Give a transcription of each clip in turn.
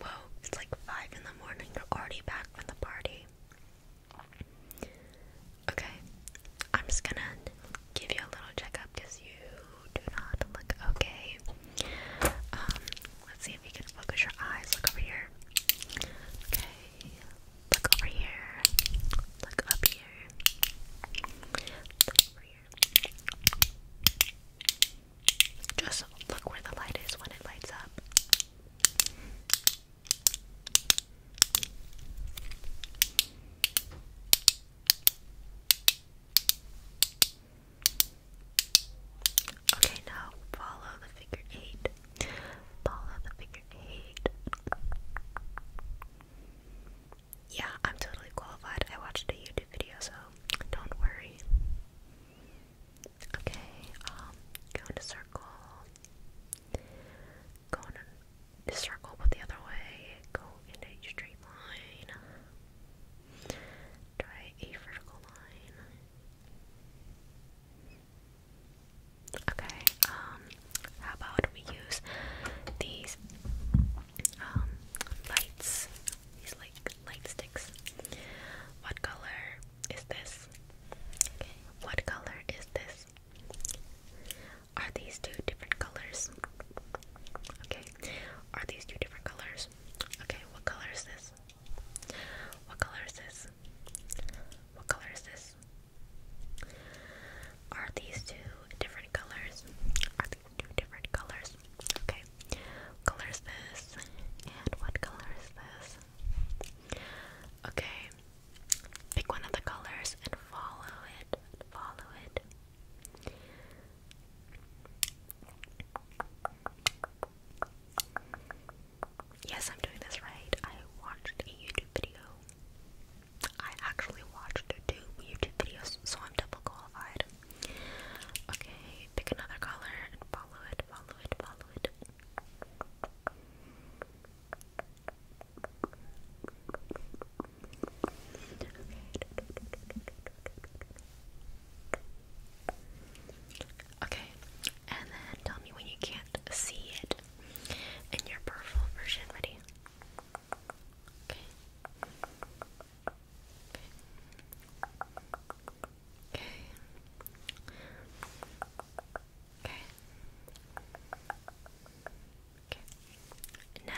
Whoa, it's like 5 in the morning. You're already back from the party. Okay, I'm just gonna give you a little checkup because you do not look okay. Um, let's see if you can focus your eyes. Look over here. Okay, look over here. Look up here. Look over here. Just look where the light is when it lights up. Okay, now follow the figure eight. Follow the figure eight. Yeah, I'm totally qualified. I watched a YouTube video, so don't worry. Okay, um, go in a circle. Go in a circle, but the other way. Go in a straight line. Try a vertical line. Okay, um, how about we use these um lights? These like light sticks. What color is this? Okay. What color is this? Are these two different colors? Okay. Are these two different colors? Okay. What color is this? What color is this? What color is this? Are these two different colors? Are these two different colors. Okay, color is this? And what color is this? Okay, pick one of the colors and follow it. Follow it. Yes, I'm doing this right. I watched a YouTube video. I actually watched two YouTube videos, so I'm double qualified. Okay, pick another color and follow it, follow it, follow it. Okay. and then tell me when you can't see it in your purple version. Ready? Okay. Okay. Okay. Okay. Now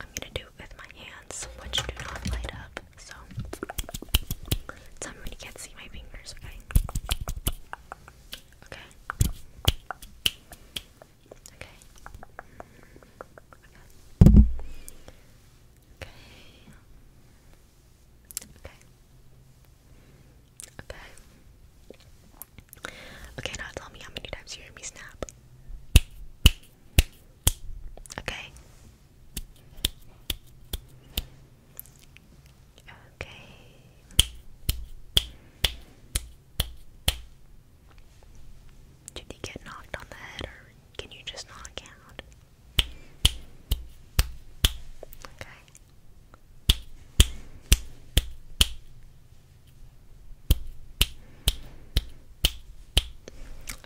I'm gonna do it with my hands, which do not light up, so somebody can't see my fingers, okay? Okay. Okay. Okay. Okay. Okay. Okay. Okay, tell me how many times you hear me snap. Okay. Okay. Did you get knocked on the head or can you just not count? Okay.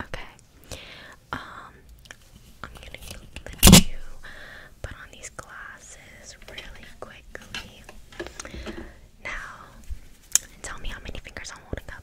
Okay. Um, I'm gonna lift you, put on these glasses really quickly. Now, tell me how many fingers I'm holding up.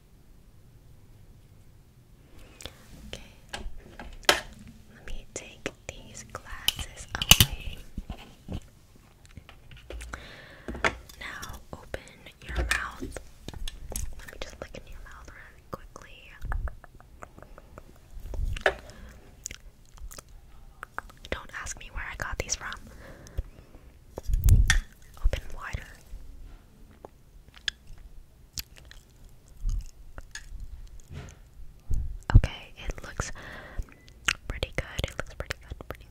Okay, let me take these glasses away. Now open your mouth. Let me just look in your mouth really quickly. Don't ask me where I got these from. Open wider. Okay, it looks pretty good. It looks pretty good, pretty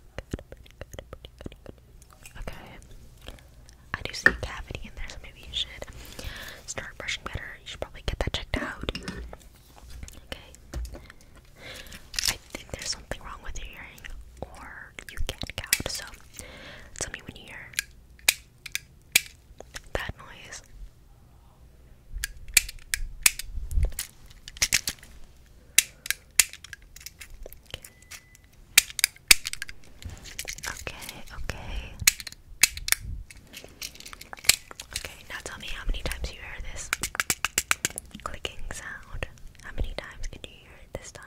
good, Okay. I do see a cavity in there, so maybe you should start brushing better. You should probably get that checked out. Okay. I think there's something wrong with your hearing, or you can't count. So tell me when you hear that noise. Okay, okay. Okay, now tell me how many times you hear this clicking sound. How many times can you hear it this time?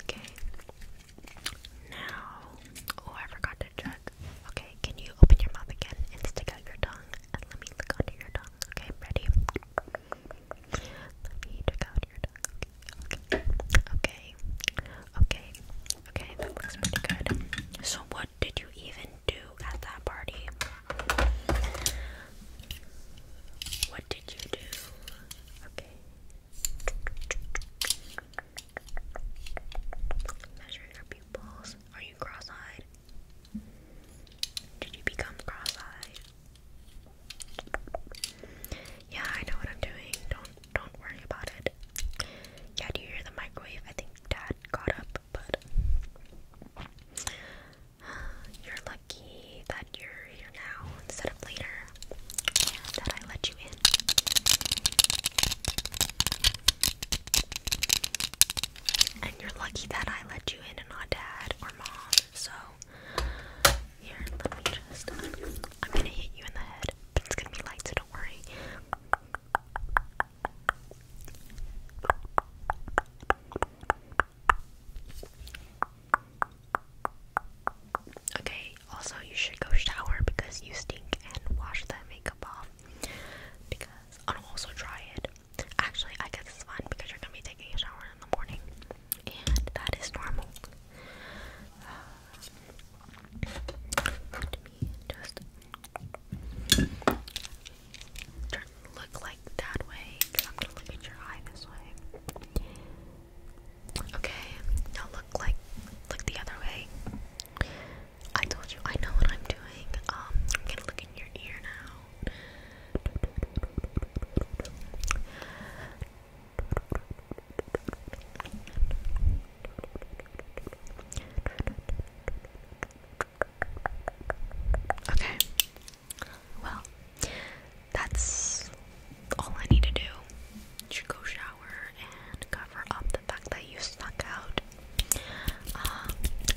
Okay. Now, oh, I forgot to check. Okay, can you open your mouth again and stick out your tongue and let me lick onto your tongue? Okay, ready? Let me check out your tongue. Okay, okay, okay, okay. That looks pretty good. So, what did you even do at that party? What did you do? Okay. Measuring your pupils. Are you cross-eyed? Did you become cross-eyed? Yeah, I know what I'm doing. Don't don't worry about it. Yeah, do you hear the microwave? I think Dad got up, but You're lucky that you're here now instead of later, that I let you in. And you're lucky that I let you in and not dad or mom. So, here, let me I'm gonna hit you in the head, it's gonna be light, so don't worry. Okay, also, you should go shower because you stink and wash that makeup off. Because I'll also dry it. Actually, I guess it's fine because you're gonna be taking a shower in the morning, and that is normal. Uh, me just look like that way I'm gonna look at your eye this way. Okay, now look like look the other way. I told you I know what I'm doing. Um, I'm gonna look in your ear now. Okay, well, that's all I need to do. Should go shower and cover up the fact that you stuck out. Um,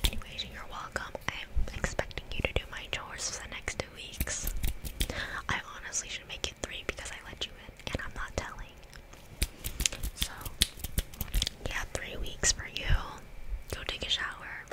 anyways, you're welcome. I'm expecting you to do my chores for the next two weeks. I honestly should make it three because I let you in and I'm not telling. So, yeah, three weeks for you. Go take a shower.